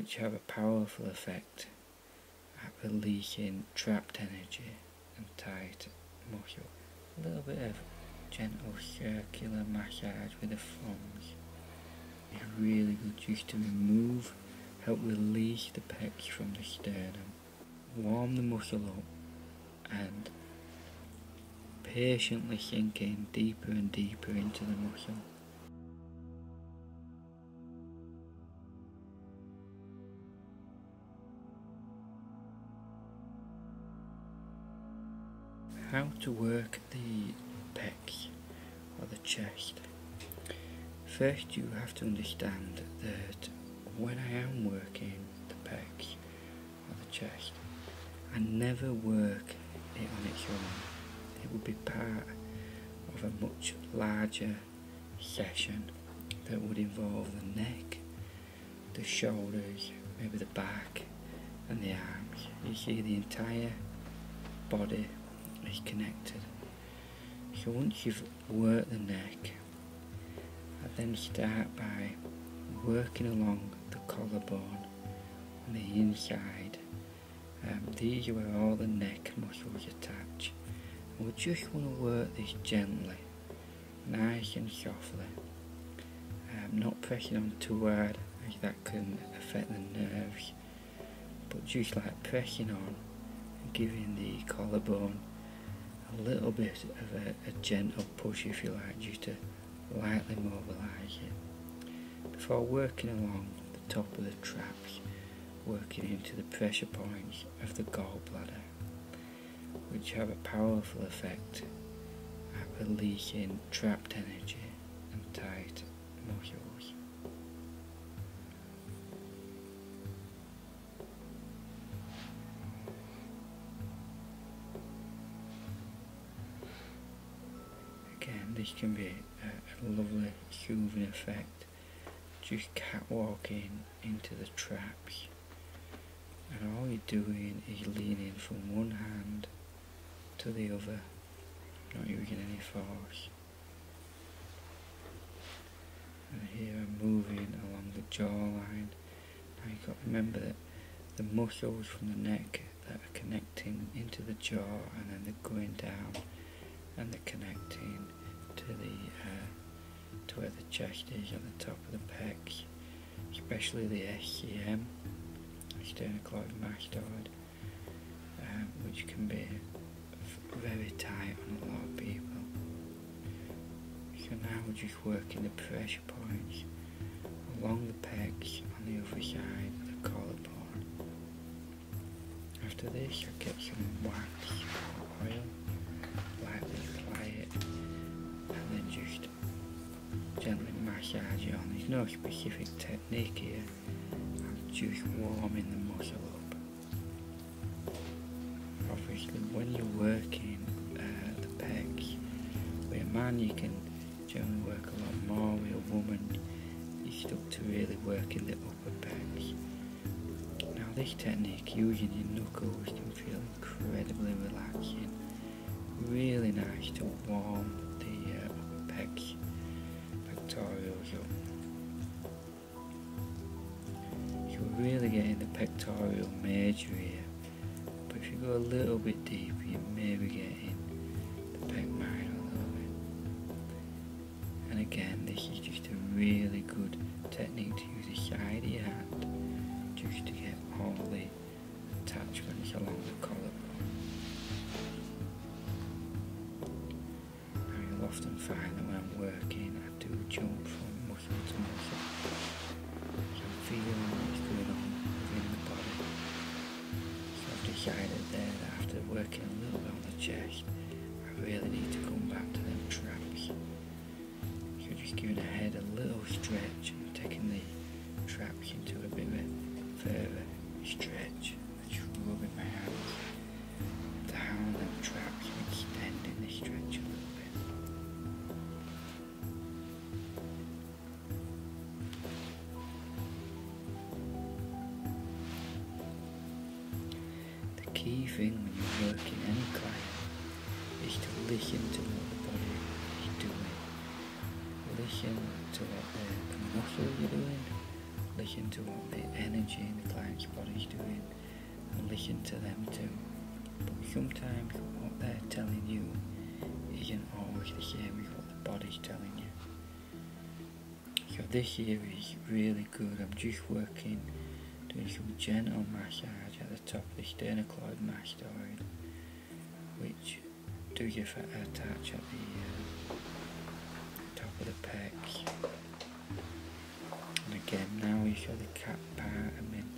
which have a powerful effect at releasing trapped energy and tight muscle. A little bit of gentle circular massage with the thumbs is really good just to remove, help release the pecs from the sternum, warm the muscle up and patiently sink deeper and deeper into the muscle. How to work the pecs or the chest. First you have to understand that when I am working the pecs or the chest, I never work it on its own. It will be bad of a much larger session that would involve the neck, the shoulders, maybe the back and the arms. You see the entire body is connected. once you've worked the neck, I then start by working along the collarbone on the inside um, these are where all the neck muscles attach. And we just want to work this gently, nice and softly. Um, not pressing on too hard as that can affect the nerves. But just like pressing on giving the collarbone a little bit of a gentle push if you like, just to lightly mobilise it. Before working along top of the traps, working into the pressure points of the gallbladder, which have a powerful effect at releasing trapped energy and tight muscles. Again, this can be a, lovely soothing effect just cat walking into the traps and all you're doing is leaning from one hand to the other not using any force and here I'm moving along the jawline now you've got to remember that the muscles from the neck that are connecting into the jaw and then they're going down and the connecting to the uh, to where the chest is on the top of the pecs, especially the SCM, sternocleic mastoid, um, which can be very tight on a lot of people. So now we're just working the pressure points along the pecs on the other side of the collarbone after this, you get some wax oil, lightly apply it, and then just gently massage it on. There's no specific technique here, just warming the muscle up. Obviously, when you're working uh, the pecs, with a man you can generally work a lot more, with a woman you still to really work in the now this technique, using your knuckles, can feel incredibly relaxing. Really nice to warm the uh, pecs, pectorals up. are really getting the pectoral major here. But if you go a little bit deeper, you may be getting the pec minor a little bit. And again, this is just a really good technique to use a side of your hand just to get all the attachments along the collarbone. Now you'll often find that when I'm working, I do jump from muscle to muscle. So I'm feeling what's going on within the body. So I've then, after working a little bit on the chest, I really need to come back to them traps. So just giving the head a little stretch and taking the traps into a bit of a further stretch. And just rubbing my hands down them traps extending the stretch a little bit. The key thing when you work in any client is to listen to what the body is doing. Listen to what the, the muscles are doing, listen to what the energy in the client's body is doing, and listen to them too. sometimes what they're telling you isn't always the same as what the body's telling you. So this here is really good. I'm just working, doing some gentle massage at the top of the sternocleidomastoid, which do give a touch at the uh, top of the pecs. And again, now we show the cap part. and then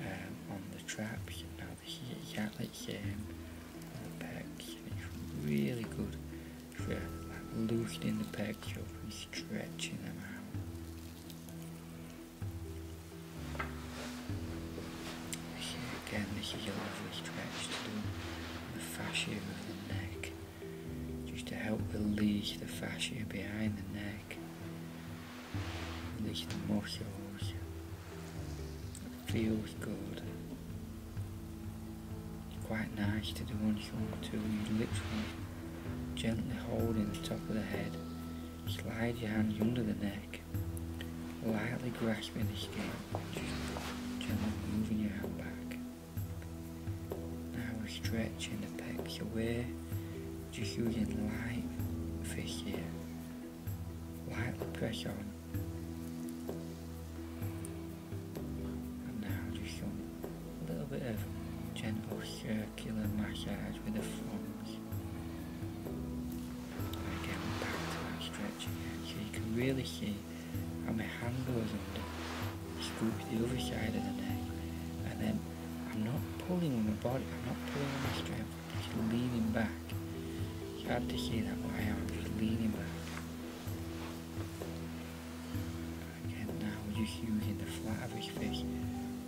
um, on the traps. Now this is exactly the same on the back. really good grip, loosening the back heel and stretching them out. Here again, the heel is stretched through the fascia of the neck, just to help release the fascia behind the neck, release the muscles. It feels good. Quite nice to do on shoulder two. You literally gently holding the top of the head. Slide your hands under the neck, lightly grasping the skin, just gently moving your hand back. Now we're stretching the pecs away, just using light pressure, here. Lightly press now just a little bit of gentle circular massage with the thumbs. And again, back to that stretch so you can really see how my hand goes on the scoop the other side of the neck, and then I'm not pulling on the body, I'm not pulling on the strap. I'm just leaning back. You have to see that, but I am just leaning back. Again now you're using the flat of his face.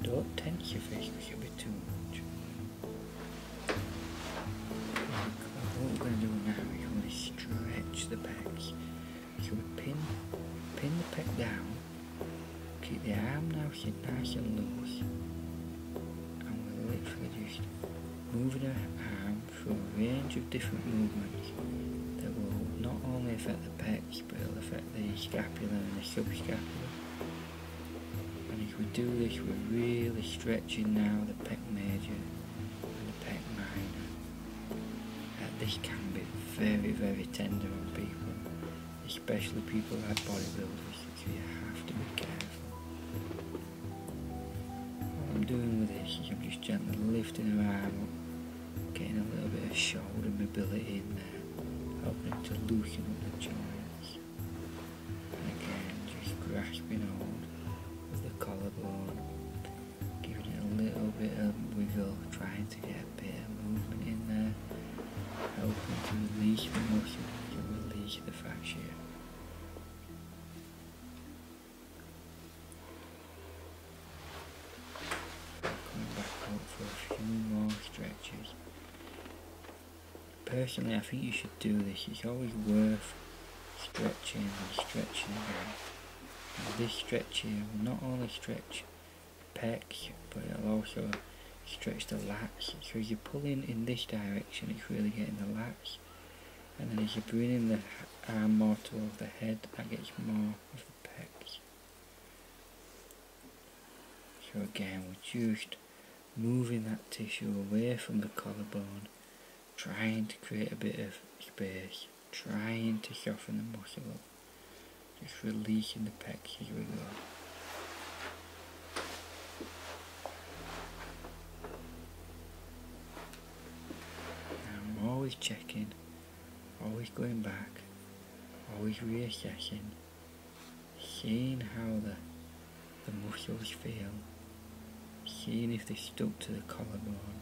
Don't tense your face because you'll be too much. What we're going to do now is we're going to stretch the pecs. So we pin, pin the pec down. Keep the arm now nice and loose. And we're going to literally just moving our arm for a range of different movements that will not only affect the pecs but it'll affect the scapula and the subscapula. And if we do this we're really stretching now the pec major and the pec minor. And uh, this can be very very tender on people, especially people who are bodybuilders So you have to be careful. What I'm doing with this I'm just gently lifting her arm up, getting a little bit of shoulder mobility in there, helping to loosen up the joints. And again, just grasping hold with the collarbone, giving it a little bit of wiggle, trying to get a bit of movement in there, helping to release the muscle, to release the fascia. Come back out for a few more stretches. Personally, I think you should do this. It's always worth stretching and stretching this stretch here will not only stretch pecs, but it'll also stretch the lats. So as you're pulling in this direction, it's really getting the lats and then as you bring in the arm more towards the head, that gets more of the pecs. So again, we're just moving that tissue away from the collarbone, trying to create a bit of space, trying to soften the muscle just releasing the pecs as we go. always checking always going back, always reassessing, seeing how the, the muscles feel, seeing if they're stuck to the collarbone,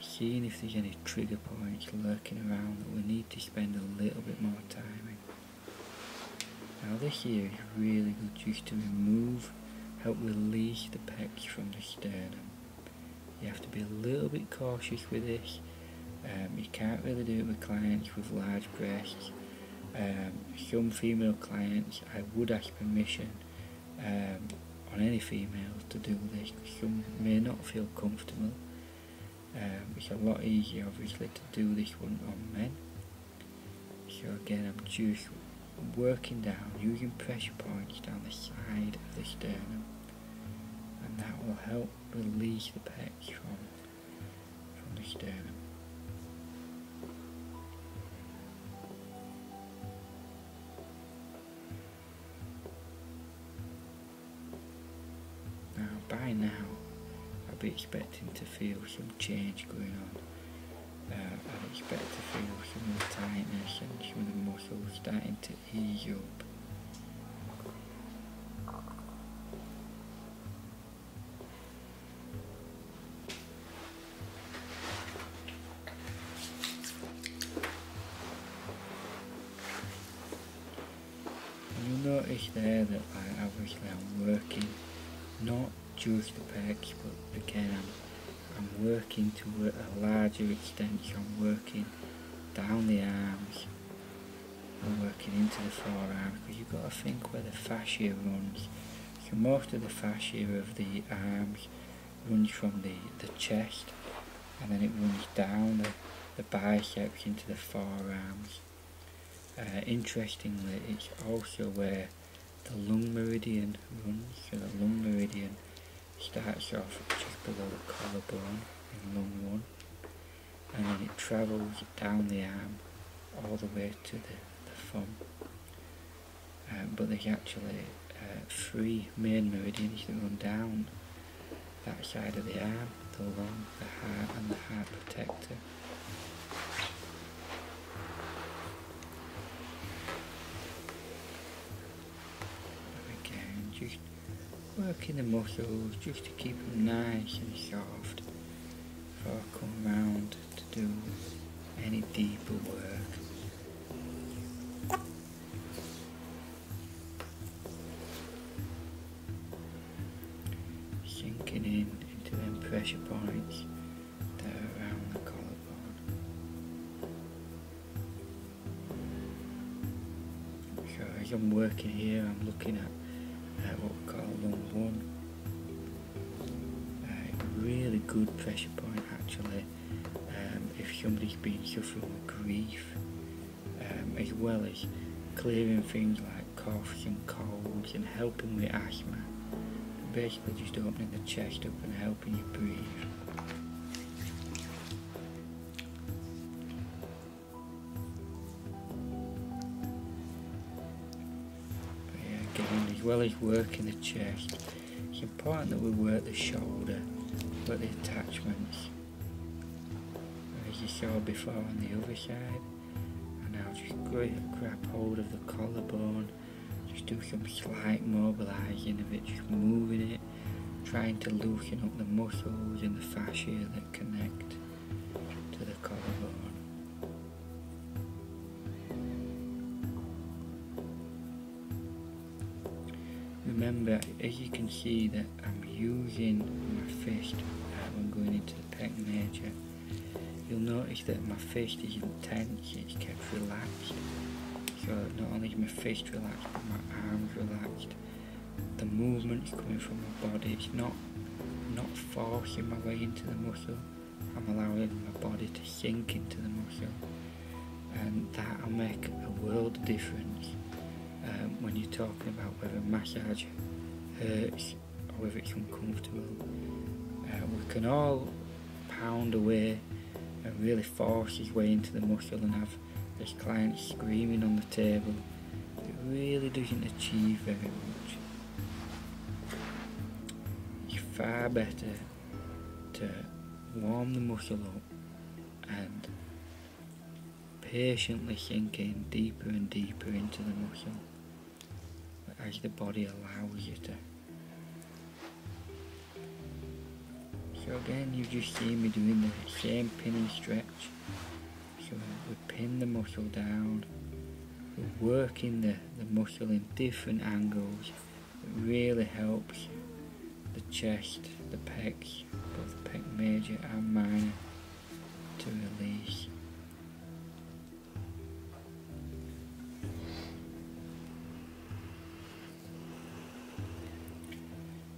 seeing if there's any trigger points lurking around that we need to spend a little bit more time in. Now this here is really good just to remove, help release the pecs from the sternum. You have to be a little bit cautious with this. Um, you can't really do it with clients with large breasts. Um, some female clients, I would ask permission um, on any females to do this. Some may not feel comfortable. it's a lot easier, obviously, to do this one on men. So again, I'm just working down using pressure points down the side of the sternum and that will help release the pecs from, from the sternum. Now by now I'd be expecting to feel some change going on. Uh, I'd expect to feel some tightness and some of so starting Mosósta into up. You'll notice there that I obviously I'm working not just the back, but the can I'm working to a larger extent, I'm working down the arms and working into the forearm because you've got to think where the fascia runs. So most of the fascia of the arms runs from the, the chest and then it runs down the, the biceps into the forearms. Uh, interestingly, it's also where the lung meridian runs, so the lung meridian starts off just below the collarbone in lung one and then it travels down the arm all the way to the, thumb. Um, but there's actually uh, three main meridians that run down that side of the arm, the lung, the heart and the heart protector we just working the muscles just to keep them nice and soft before I come round to do any deeper work. Sinking in into them pressure points that are around the collarbone. So as I'm working here I'm looking at uh, what Carl call lung 1 really good pressure point actually um, if somebody's been suffering grief um, as well as clearing things like coughs and colds and helping with asthma basically just opening the chest up and helping helping again, as well as working the chest, it's important that we work the shoulder, with the attachments. As you saw before on the other side. And now just grab hold of the collarbone, just do some slight mobilising of it, just moving it trying to loosen up the muscles and the fascia that connect to the collarbone. Remember, as you can see that I'm using my fist I'm going into the pec major. You'll notice that my fist isn't tense, it's kept relaxed so not only my face relaxed, but my arms relaxed. The movement is coming from my body. It's not not forcing my way into the muscle. I'm allowing my body to sink into the muscle, and that'll make a world of difference um, when you're talking about whether massage hurts or whether it's uncomfortable. Uh, we can all pound away body and really force his way into the muscle and have his client screaming on the table. It really doesn't achieve very much. It's far better to warm the muscle up and patiently sink in deeper and deeper into the muscle as the body allows you to. So again, you just see me doing the same pinning stretch. So we pin the muscle down, we're working the, the muscle in different angles. It really helps the chest, the pecs, both pec major and minor, to release.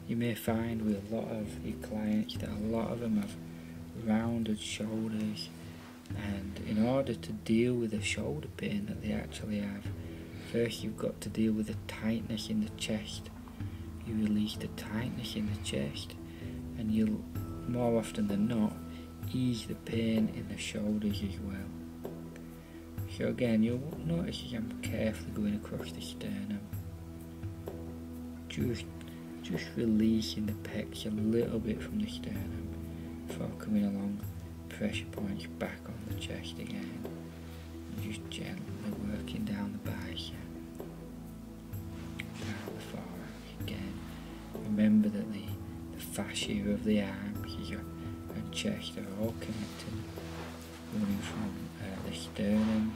You may find with a lot of your clients that a lot of them have rounded shoulders and in order to deal with the shoulder pain that they actually have, first you've got to deal with the tightness in the chest. You release the tightness in the chest and you'll more often than not ease the pain in the shoulders as well. So again, you'll notice I'm carefully going across the sternum, just, just releasing the pecs a little bit from the sternum before coming along pressure points back on the chest again. just gently working down the back, down the thorax again. Remember that the, the fascia of the arm here and chest are all connected running from uh, the sternum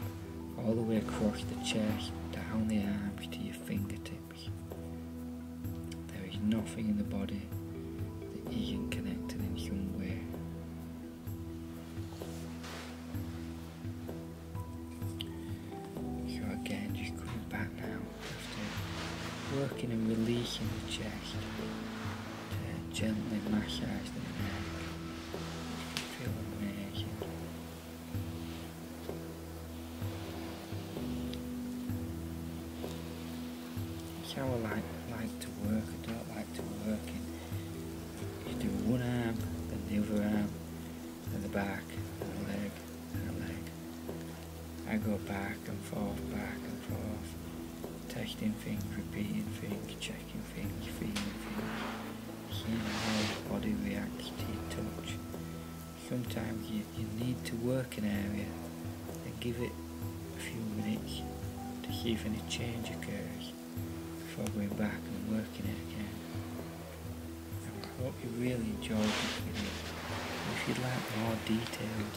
all the way across the chest, down the arms to your fingertips. There is nothing in the body that isn't connected in some way. So again, just coming back now just working and releasing the chest and gently massage the like, like to work. I don't like to work in. You do one arm, then the other arm, then the back, then the leg, then the leg. I go back and forth, back and forth, testing things, repeating things, checking fake, fake, fake, fake. He knows body reacts to touch. Sometimes you, need to work an area and give it a few minutes to see if any change occurs before going back and working it again. I hope you really enjoyed this video. If you'd like more detailed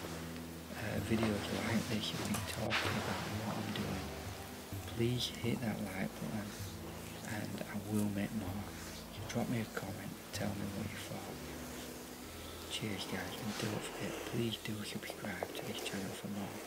uh, videos like this you'll be talking about what I'm doing. Please hit that like button and I will make more. You drop me a comment tell me what you thought. Cheers guys and don't forget please do subscribe to this channel for more.